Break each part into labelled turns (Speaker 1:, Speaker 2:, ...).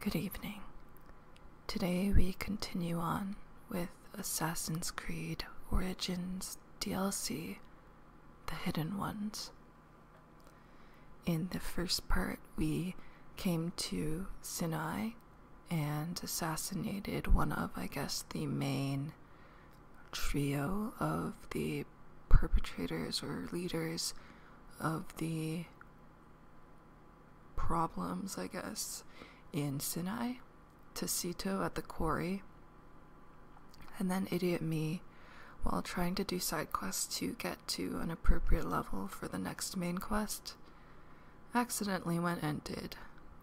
Speaker 1: Good evening. Today we continue on with Assassin's Creed Origins DLC The Hidden Ones. In the first part, we came to Sinai and assassinated one of, I guess, the main trio of the perpetrators or leaders of the problems, I guess, in Sinai to at the quarry, and then Idiot Me while trying to do side quests to get to an appropriate level for the next main quest, accidentally went and did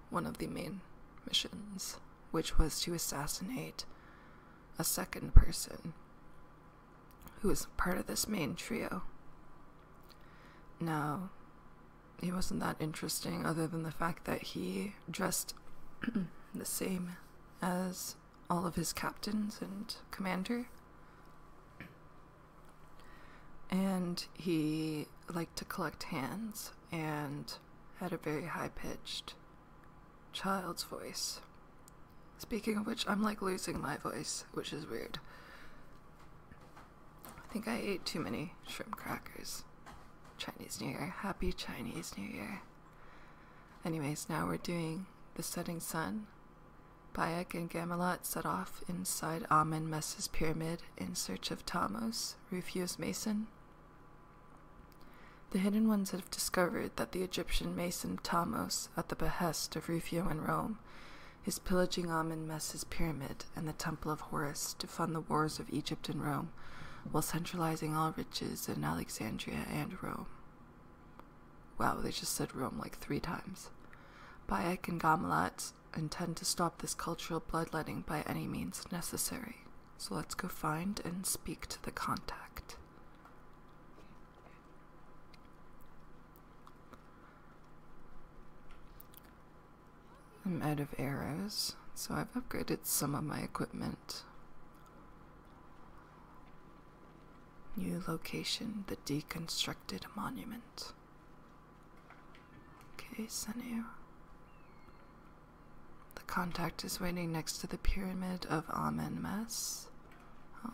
Speaker 1: one of the main missions, which was to assassinate a second person who was part of this main trio. Now, he wasn't that interesting other than the fact that he dressed the same as all of his captains and commander. And he liked to collect hands and had a very high pitched child's voice. Speaking of which, I'm like losing my voice, which is weird. I think I ate too many shrimp crackers. Chinese New Year. Happy Chinese New Year. Anyways, now we're doing The Setting Sun. Bayek and Gamalat set off inside Amen Messa's pyramid in search of Thamos, Rufius Mason. The Hidden Ones have discovered that the Egyptian Mason Thamos at the behest of Rufio in Rome, his pillaging amen messes pyramid and the Temple of Horus to fund the wars of Egypt and Rome, while centralizing all riches in Alexandria and Rome. Wow, they just said Rome like three times. Baek and Gamelat intend to stop this cultural bloodletting by any means necessary. So let's go find and speak to the contact. I'm out of arrows, so I've upgraded some of my equipment. New location, the deconstructed monument. Okay, Senu. The contact is waiting next to the pyramid of Amenmes. Oh,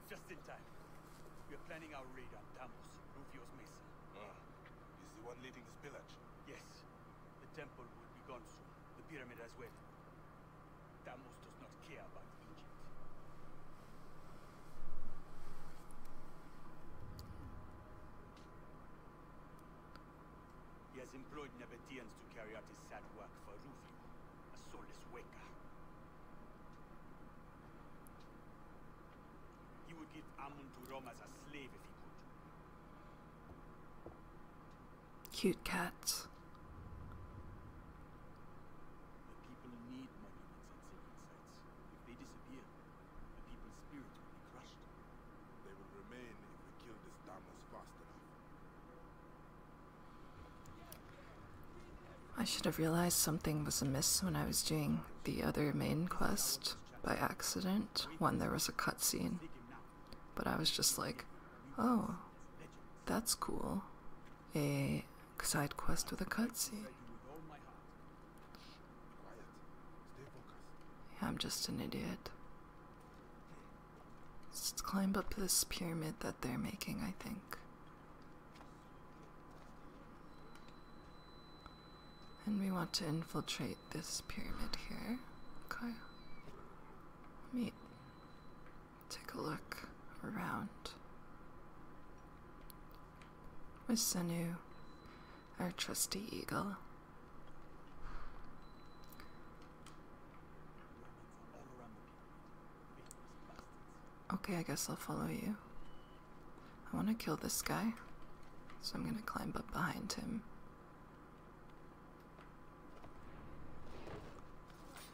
Speaker 2: Just in time. We're planning our raid on Tamos, Rufio's Mesa. Ah, he's the one leading this village? Yes. The temple will be gone soon. The pyramid as well. Tamos does not care about Egypt. He has employed Nebetians to carry out his sad work for Rufio, a soulless Weka. He would give Amun to Rome as a slave if
Speaker 1: he could. Cute cats.
Speaker 2: If they disappear, the people's spirit will be crushed.
Speaker 3: They will remain if we kill this Damas fast enough.
Speaker 1: I should have realized something was amiss when I was doing the other main quest by accident when there was a cutscene. But I was just like, oh, that's cool. A side quest with a cutscene. I'm just an idiot. Let's climb up this pyramid that they're making, I think. And we want to infiltrate this pyramid here. Okay. Let me take a look around. With Senu, our trusty eagle. Okay, I guess I'll follow you. I want to kill this guy, so I'm going to climb up behind him.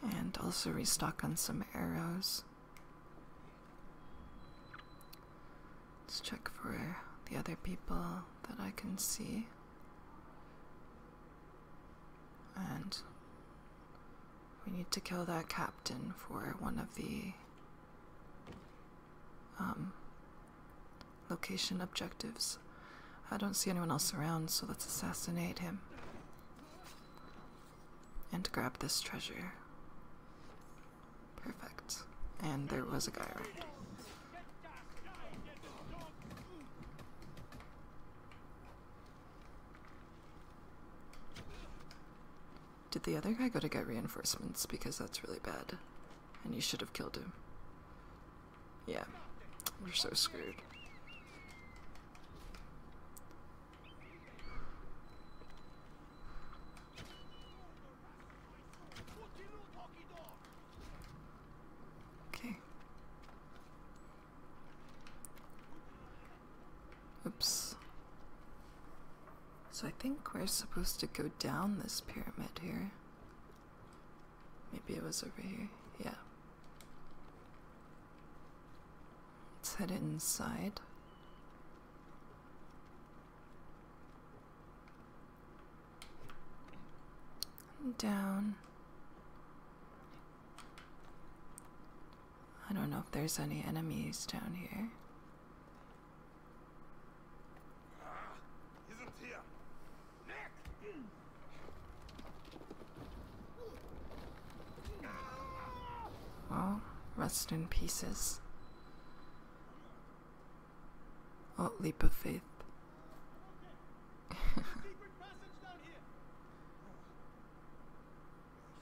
Speaker 1: And also restock on some arrows. Let's check for the other people that I can see. And we need to kill that captain for one of the um, location objectives. I don't see anyone else around, so let's assassinate him and grab this treasure. Perfect. And there was a guy around. Did the other guy go to get reinforcements? Because that's really bad. And you should have killed him. Yeah. We're so screwed. Okay. Oops. So I think we're supposed to go down this pyramid here. Maybe it was over here. Yeah. Let's head inside. down. I don't know if there's any enemies down here. Well, rest in pieces. Oh, leap of faith.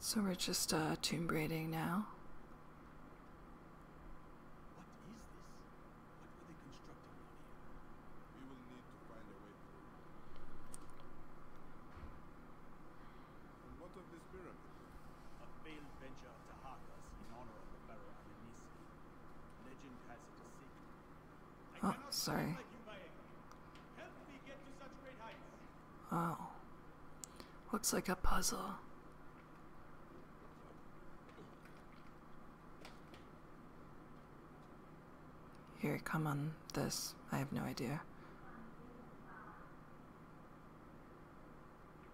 Speaker 1: So we're just uh, tomb raiding now. What is this?
Speaker 2: What were they constructing here? We will need to find a way through. what of this pyramid? A failed venture to Harkas in honor of the pharaoh Anansi. Legend has it a secret.
Speaker 1: Oh, sorry. Oh. Looks like a puzzle. Here, come on this. I have no idea.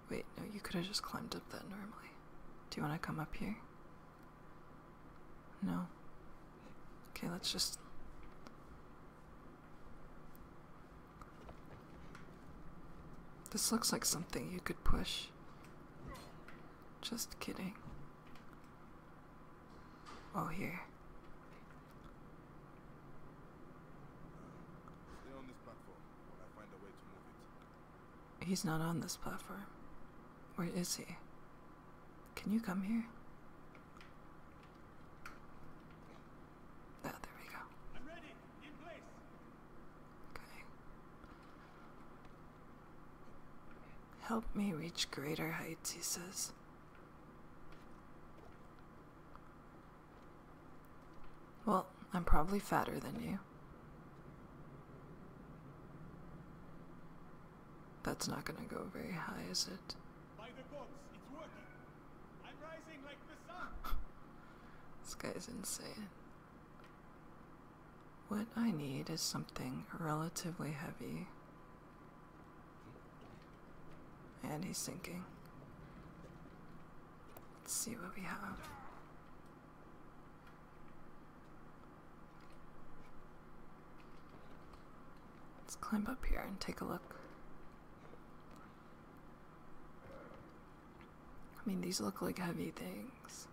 Speaker 1: Wait, no, you could have just climbed up that normally. Do you want to come up here? No. Okay, let's just. This looks like something you could push. Just kidding. Oh, here. He's not on this platform. Where is he? Can you come here?
Speaker 2: Ah, there we go. I'm ready. In place. Okay.
Speaker 1: Help me reach greater heights, he says. Well, I'm probably fatter than you. That's not gonna go very high, is it?
Speaker 2: the gods,
Speaker 1: this guy's insane. What I need is something relatively heavy. And he's sinking. Let's see what we have. Let's climb up here and take a look. I mean, these look like heavy things.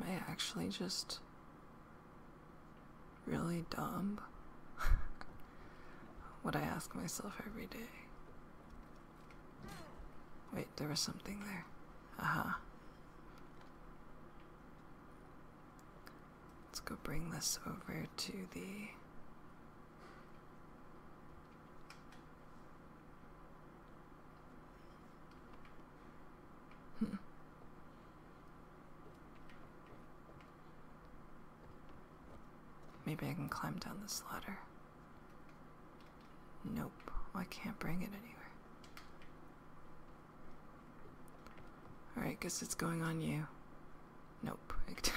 Speaker 1: Am I actually just really dumb? what I ask myself every day. Wait, there was something there. Aha. Let's go bring this over to the Hmm. Maybe I can climb down this ladder. Nope, I can't bring it anywhere. Alright, guess it's going on you. Nope.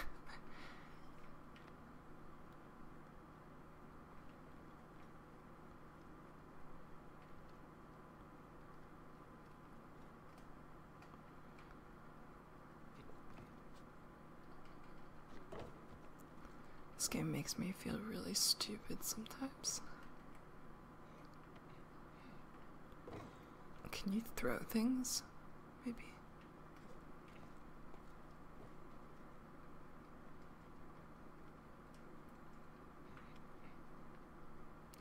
Speaker 1: This game makes me feel really stupid sometimes. Can you throw things? Maybe.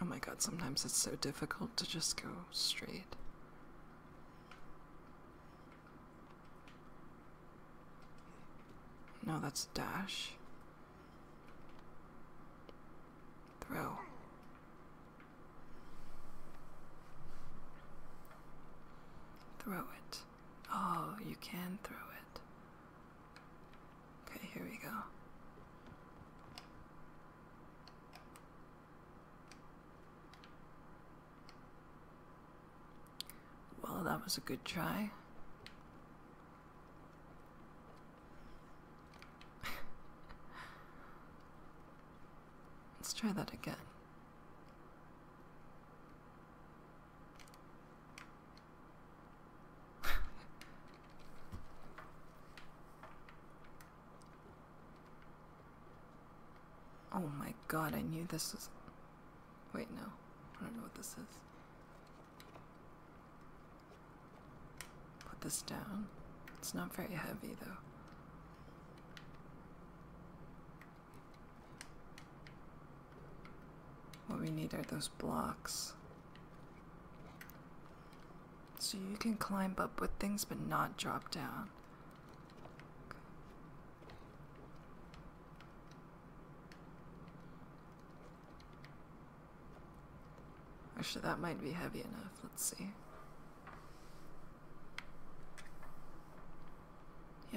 Speaker 1: Oh my god, sometimes it's so difficult to just go straight. No, that's dash. Throw. Throw it. Oh, you can throw it. Okay, here we go. Well, that was a good try. Let's try that again. oh my god, I knew this was. Wait, no. I don't know what this is. Put this down. It's not very heavy, though. What we need are those blocks. So you can climb up with things but not drop down. Actually, that might be heavy enough. Let's see.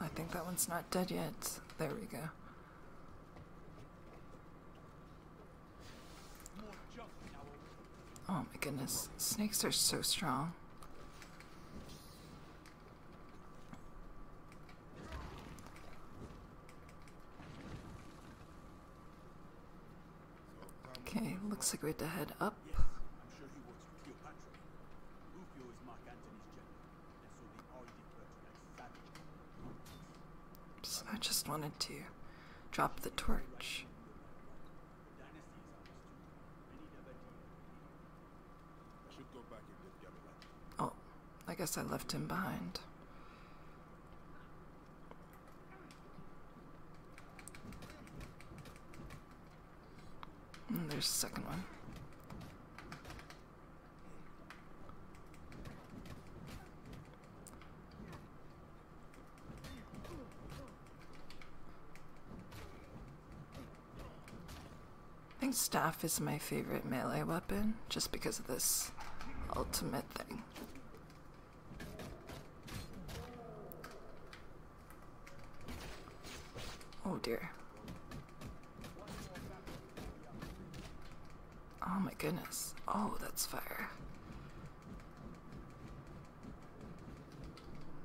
Speaker 1: I think that one's not dead yet. There we go. Oh my goodness. Snakes are so strong. Okay, looks like we have to head up.
Speaker 2: It's Cleopatra. Rufio to that
Speaker 1: savage. So I just wanted to drop the torch. Oh, I guess I left him behind. Oh, there's the second one. I think staff is my favorite melee weapon, just because of this ultimate thing. Oh dear. Oh my goodness. Oh, that's fire.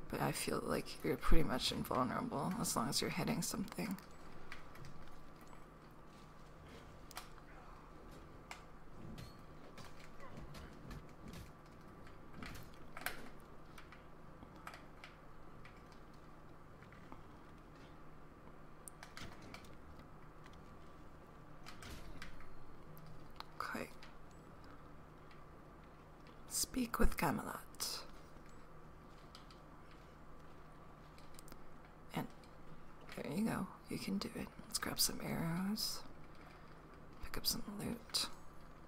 Speaker 1: But I feel like you're pretty much invulnerable as long as you're hitting something. Okay. Speak with Camelot. And there you go. You can do it. Let's grab some arrows. Pick up some loot.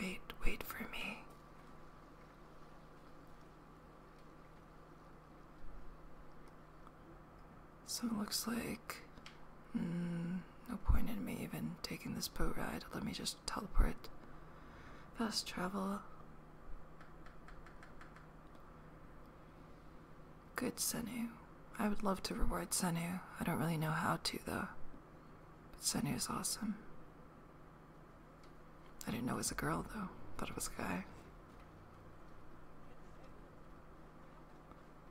Speaker 1: Wait, wait for me. So it looks like mm, no point in me even taking this boat ride. Let me just teleport. Fast travel. Good Senu. I would love to reward Senu. I don't really know how to though. But Senu is awesome. I didn't know it was a girl, though. Thought it was a guy.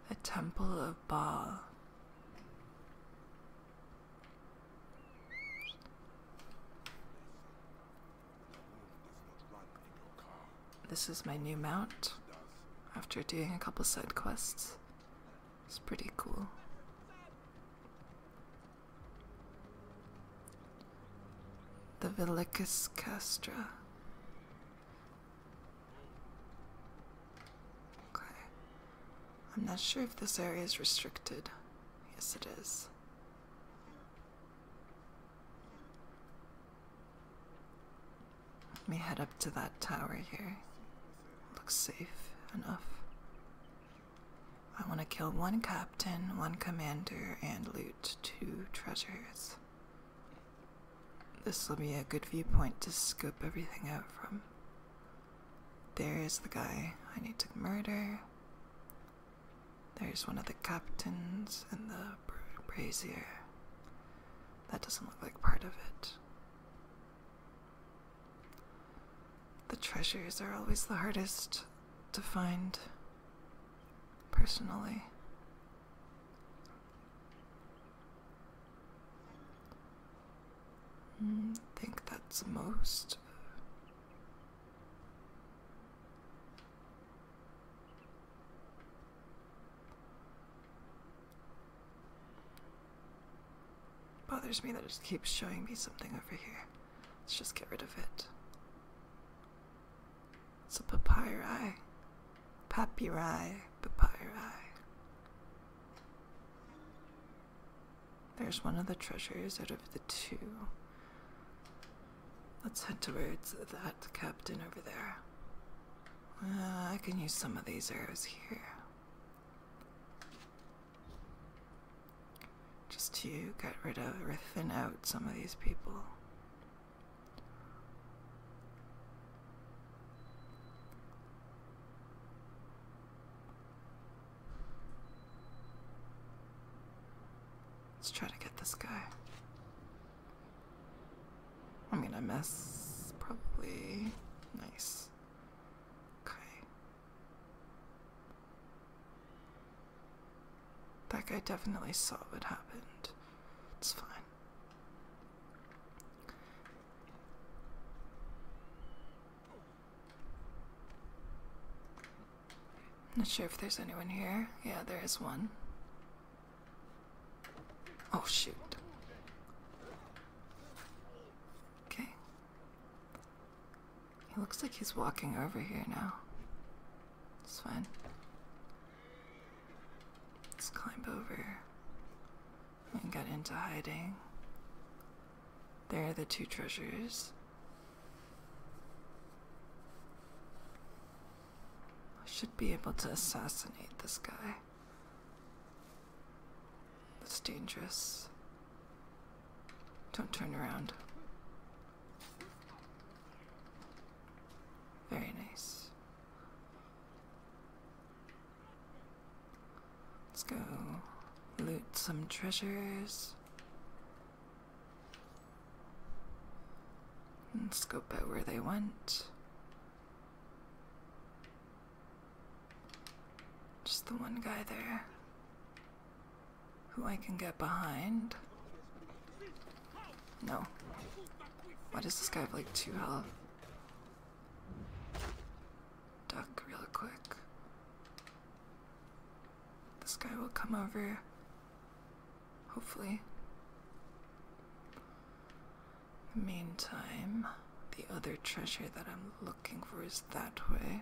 Speaker 1: A temple of Baal. This is my new mount after doing a couple side quests. It's pretty cool. The Velicus castra. Okay. I'm not sure if this area is restricted. Yes, it is. Let me head up to that tower here. Looks safe enough. I want to kill one captain, one commander, and loot two treasures. This will be a good viewpoint to scope everything out from. There is the guy I need to murder. There's one of the captains and the brazier. That doesn't look like part of it. The treasures are always the hardest to find, personally. I mm, think that's most. Bothers me that it keeps showing me something over here. Let's just get rid of it. It's a papyrus. Papyrus. Papyrus. There's one of the treasures out of the two. Let's head towards that captain over there. Uh, I can use some of these arrows here just to get rid of or thin out some of these people. Let's try to get this guy. I'm gonna miss, probably. Nice. Okay. That guy definitely saw what happened. It's fine. Not sure if there's anyone here. Yeah, there is one. Oh, shoot. Okay, he looks like he's walking over here now. It's fine. Let's climb over and get into hiding. There are the two treasures. I should be able to assassinate this guy. That's dangerous. Don't turn around. Very nice. Let's go loot some treasures. And scope out where they went. Just the one guy there who I can get behind. No. Why does this guy have like two health? Duck real quick. This guy will come over. Hopefully. Meantime, the other treasure that I'm looking for is that way.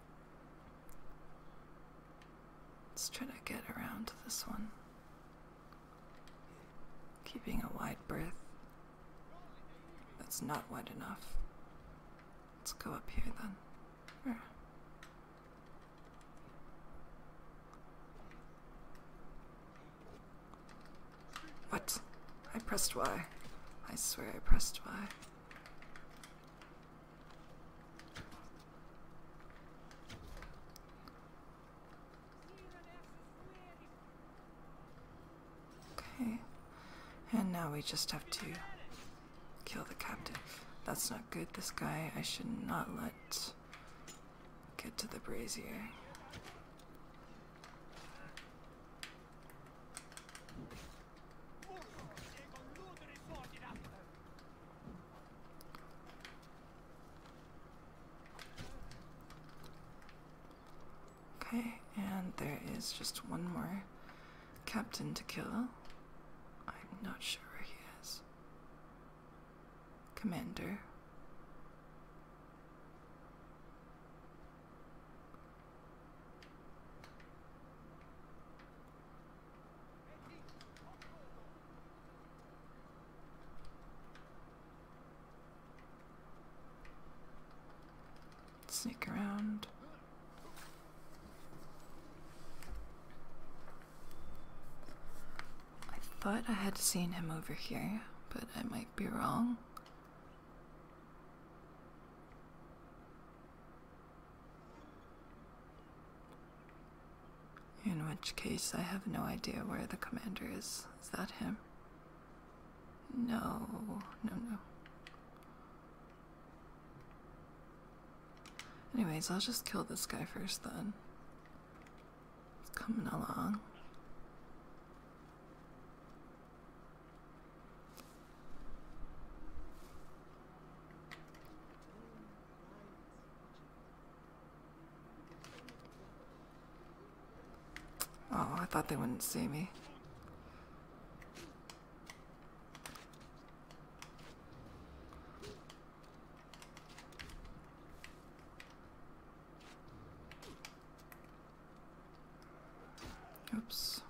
Speaker 1: Let's try to get around to this one. Keeping a wide breath. That's not wide enough. Let's go up here then. What? I pressed Y. I swear I pressed Y. Okay. And now we just have to kill the captive. That's not good. This guy I should not let get to the brazier. Okay, and there is just one more captain to kill. I'm not sure where he is. Commander. Sneak around. I thought I had seen him over here, but I might be wrong. In which case, I have no idea where the commander is. Is that him? No, no, no. Anyways, I'll just kill this guy first then. It's coming along. Oh, I thought they wouldn't see me. Oops.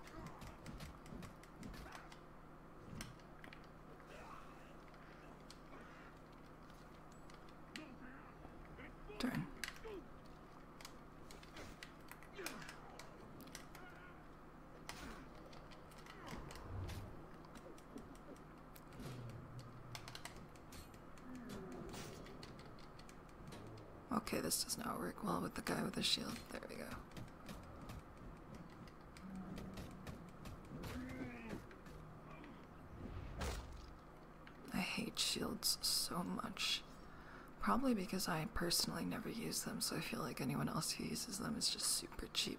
Speaker 1: Turn. Okay, this does not work well with the guy with the shield. There we go. I hate shields so much. Probably because I personally never use them, so I feel like anyone else who uses them is just super cheap.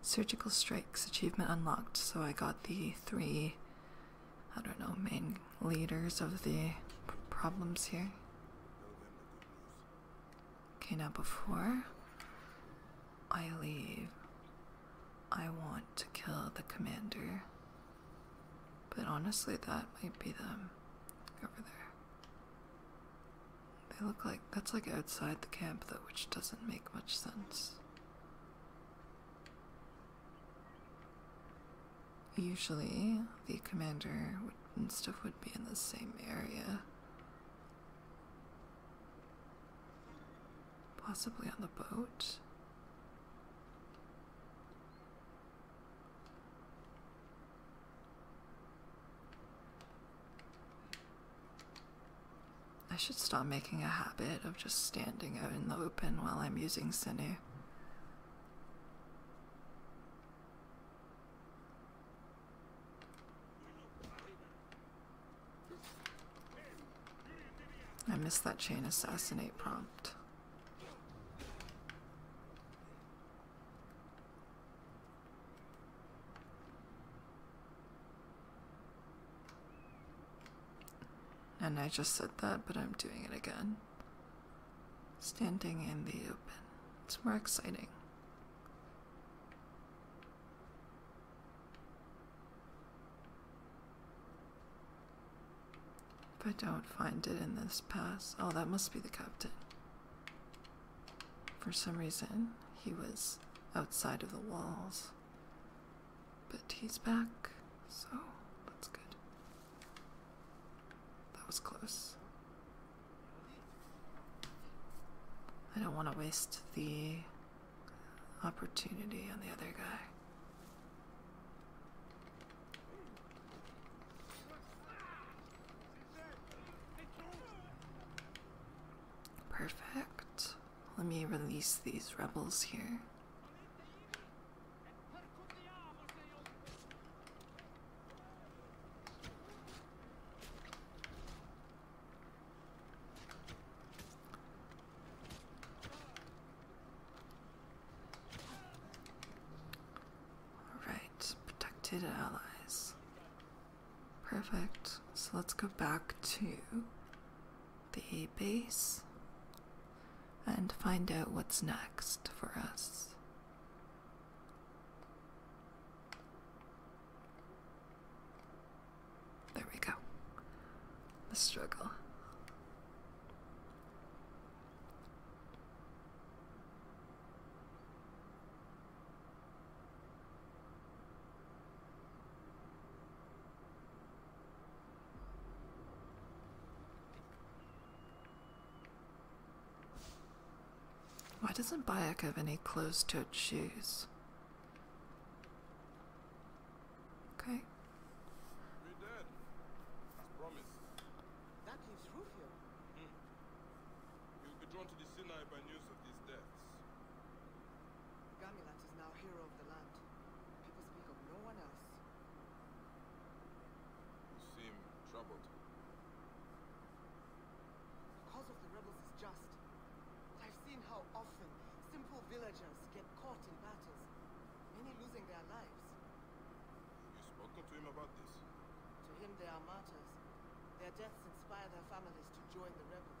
Speaker 1: Surgical Strikes achievement unlocked. So I got the three, I don't know, main leaders of the problems here. Okay, now before I leave, I want to kill the commander. But honestly, that might be them over there. They look like that's like outside the camp though, which doesn't make much sense. Usually, the commander and stuff would be in the same area. Possibly on the boat. I should stop making a habit of just standing out in the open while I'm using Sinew. I missed that chain assassinate prompt. And I just said that, but I'm doing it again. Standing in the open. It's more exciting. If I don't find it in this pass, oh, that must be the captain. For some reason, he was outside of the walls. But he's back, so that's good. That was close. I don't want to waste the opportunity on the other guy. Perfect. Let me release these rebels here. Alright, protected allies. Perfect. So let's go back to the base and find out what's next for us. There we go. The struggle. Why doesn't Bayek have any closed-toed shoes? Okay.
Speaker 3: We did. As That leaves Rufio. Hmm. will be drawn to the Sinai by news of these deaths. Gamelan is now hero of the land. People speak of no one else. You seem troubled. The cause of the rebels is just. But I've seen how often simple villagers get caught in battles, many losing their lives. Have you spoken to him about this? To him they are martyrs. Their deaths inspire their families to join the rebels.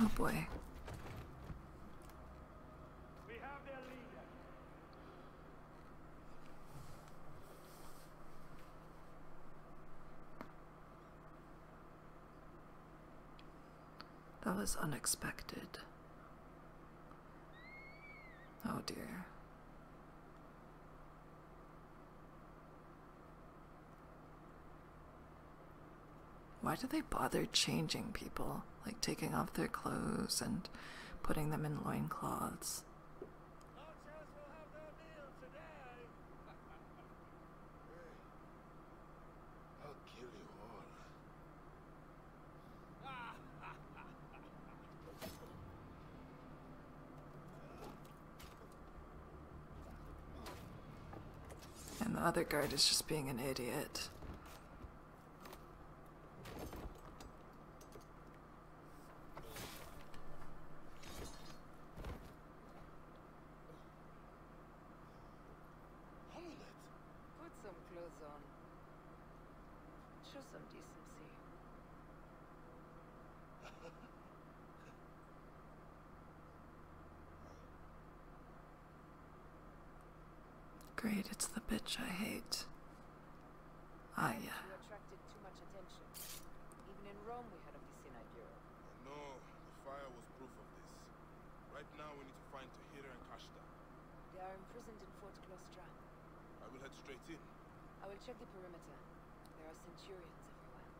Speaker 1: Oh boy. That was unexpected. Oh dear. Why do they bother changing people, like taking off their clothes and putting them in loin cloths? And the other guard is just being an idiot. Put some some clothes on. Show decency. Great, it's the bitch I hate. Ah, You attracted too much attention. Even in Rome, we had a Messina bureau.
Speaker 3: Oh, no, the fire was proof of this. Right now, we need to find Tahira and Kashta.
Speaker 1: They are imprisoned in Fort Klostra. I
Speaker 3: will head straight in.
Speaker 1: I will check the perimeter. There are centurions everywhere.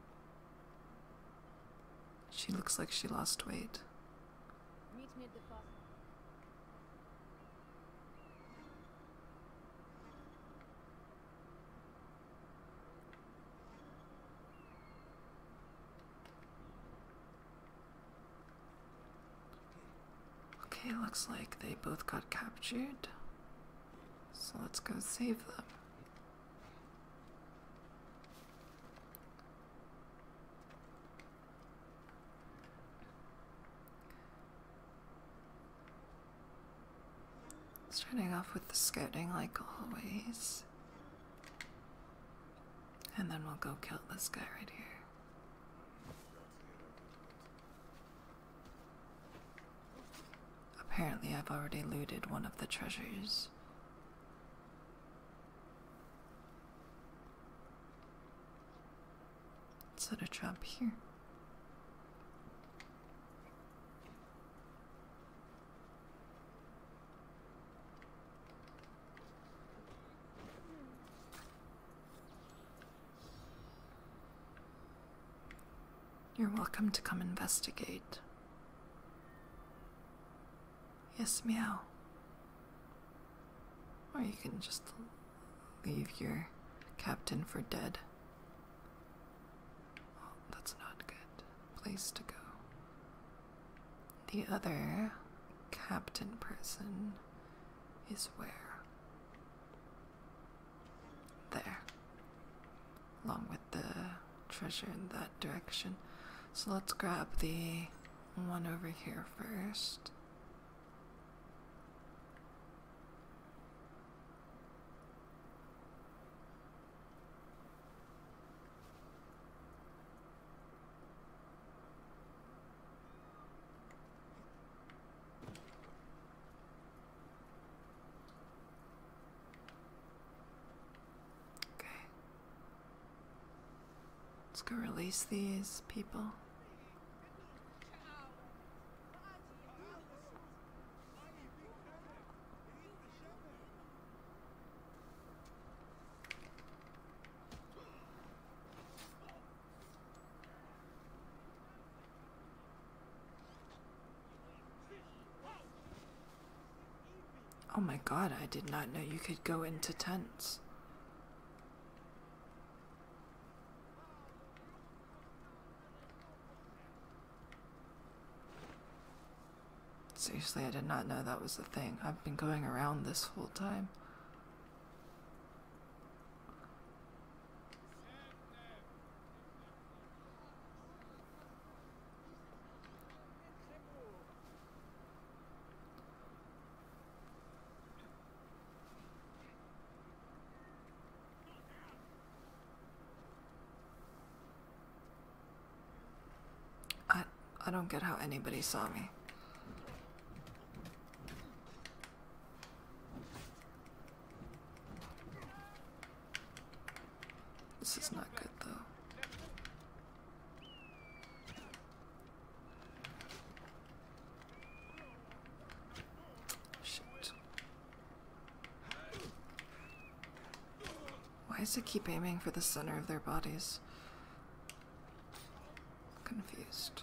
Speaker 1: She looks like she lost weight. Okay, looks like they both got captured. So let's go save them. Starting off with the scouting, like always. And then we'll go kill this guy right here. Apparently, I've already looted one of the treasures. Set a trap here. You're welcome to come investigate. Yes, meow. Or you can just leave your captain for dead. that's not good place to go. The other captain person is where? There along with the treasure in that direction. So let's grab the one over here first. Okay. Let's go release these people. Oh my god, I did not know you could go into tents. Seriously, I did not know that was the thing. I've been going around this whole time. I, I don't get how anybody saw me. This is not good, though. Shit. Why does it keep aiming for the center of their bodies? Confused.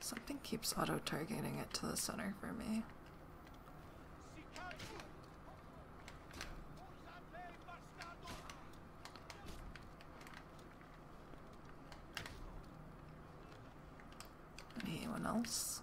Speaker 1: Something keeps auto-targeting it to the center for me. Anyone else?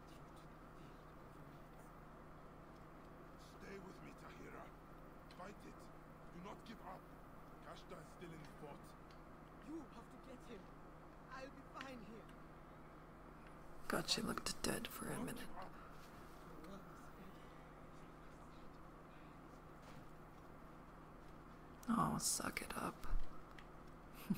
Speaker 3: Stay with me, Tahira. Fight it. Do not give up. Kashta is still in the fort. You have to get him. I'll be fine here.
Speaker 1: God, she looked dead for a minute. Oh, suck it up.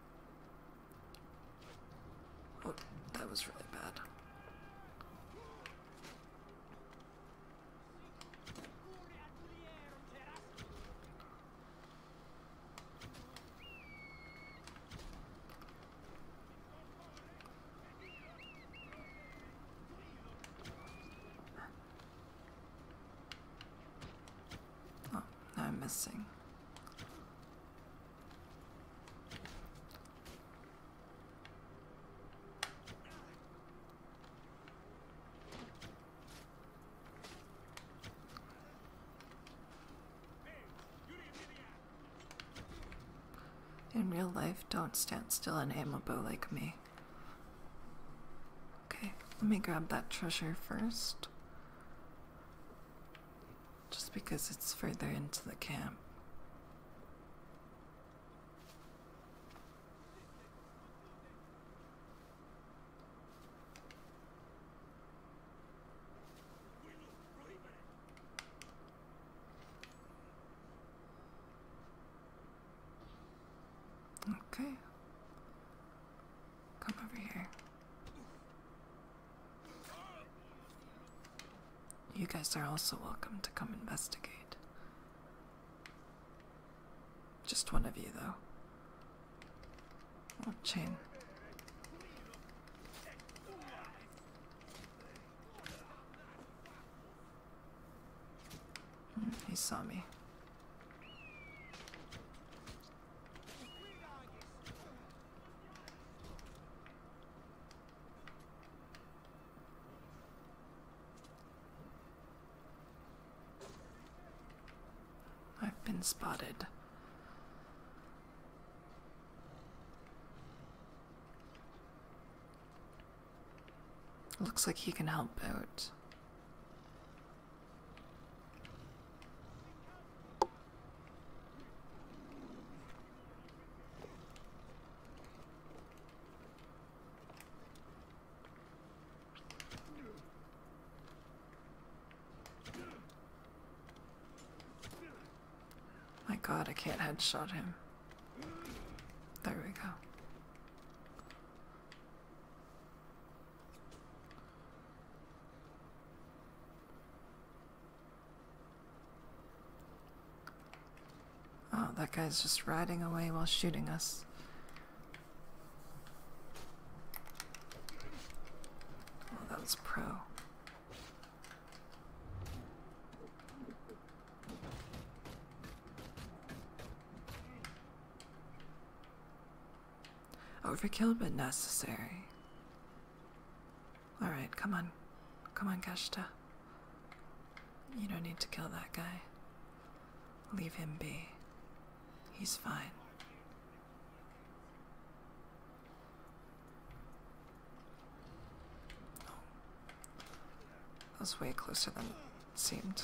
Speaker 1: Oh, that was really bad. Oh, now I'm missing. In real life, don't stand still and aim a bow like me. Okay, let me grab that treasure first. Just because it's further into the camp. Okay. Come over here. You guys are also welcome to come investigate. Just one of you, though. Oh, chain. Mm, he saw me. I've been spotted. Looks like he can help out. My god, I can't headshot him. There we go. Oh, that guy's just riding away while shooting us. Oh, that was pro. Overkill, but necessary. Alright, come on. Come on, Kashta. You don't need to kill that guy. Leave him be. He's fine. That was way closer than it seemed.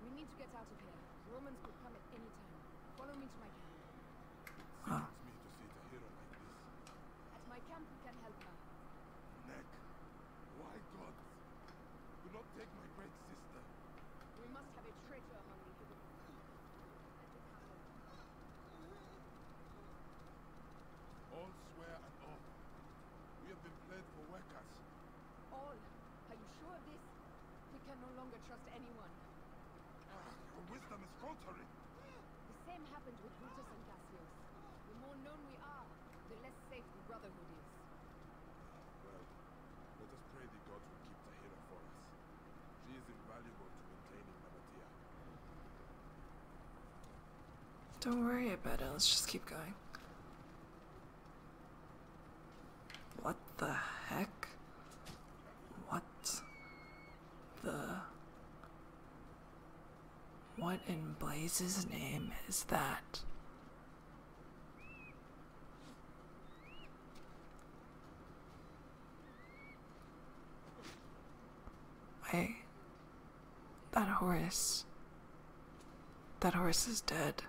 Speaker 1: We need to get out of here. Romans could come at any time. Follow me to my camp.
Speaker 3: Huh. Ah. me to see the hero like this.
Speaker 2: At my camp we can help her.
Speaker 3: Neck. Why gods? Do not take my great sister.
Speaker 2: We must have a traitor among the
Speaker 3: All swear and oath. We have been played for workers.
Speaker 1: All. Are you sure of this? We can no longer trust anyone.
Speaker 3: Your wisdom is faltering.
Speaker 2: The same happened with Brutus and Cassius. The more known we are, the less safe the
Speaker 1: Brotherhood is.
Speaker 3: Well, let us pray the gods will keep Tahira for us. She is invaluable to maintaining Mamatia.
Speaker 1: Don't worry about it, let's just keep going. What the heck? What the. What in Blaze's name is that? Wait. That horse. That horse is dead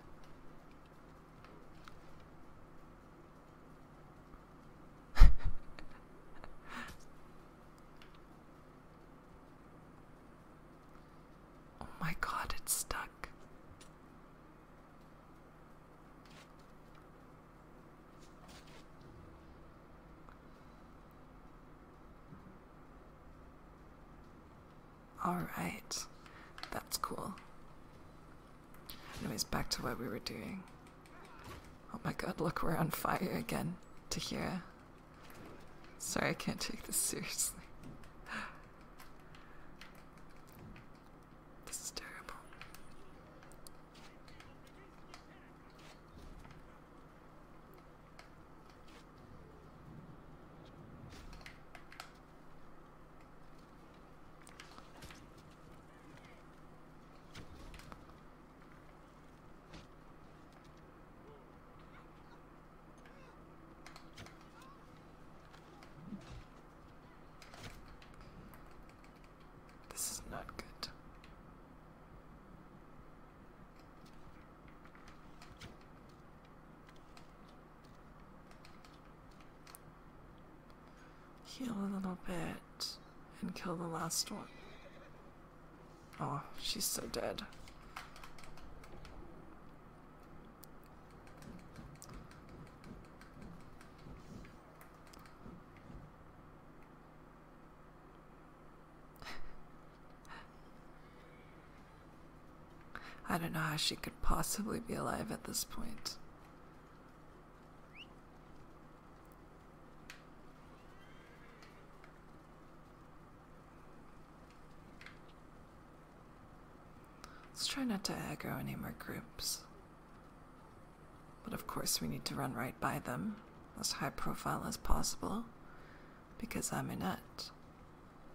Speaker 1: oh my god, it's stuck. Alright. That's cool. Anyways, back to what we were doing. Oh my god, look, we're on fire again. Tahira. Sorry, I can't take this seriously. this is terrible. This is not good. Heal a little bit and kill the last one. Oh, she's so dead. I don't know how she could possibly be alive at this point. Let's try not to aggro any more groups. But of course, we need to run right by them, as high profile as possible, because I'm in it.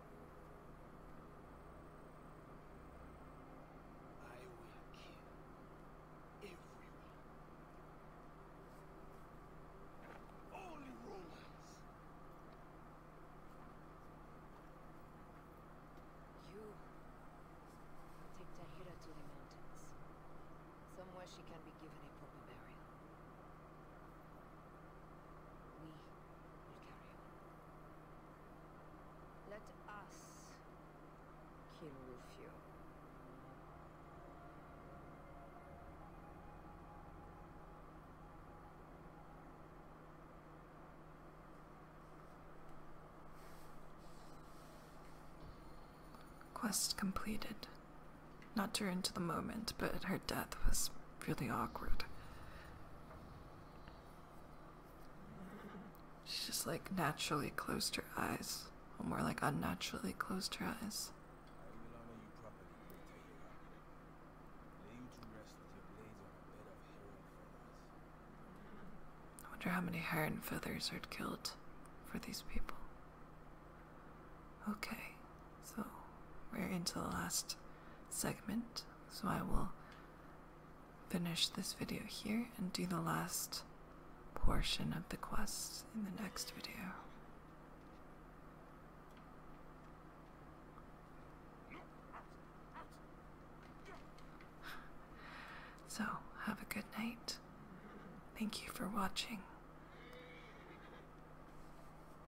Speaker 3: will You take
Speaker 1: Tahira to the mountains, somewhere she can be given a proper burial. We let us kill Rufio. Quest completed. Not during to the moment, but her death was really awkward. She just like naturally closed her eyes, or more like unnaturally closed her eyes. I wonder how many hair and feathers are killed for these people. Okay, so we're into the last segment, so I will finish this video here and do the last portion of the quest in the next video. So, have a good night. Thank you for watching.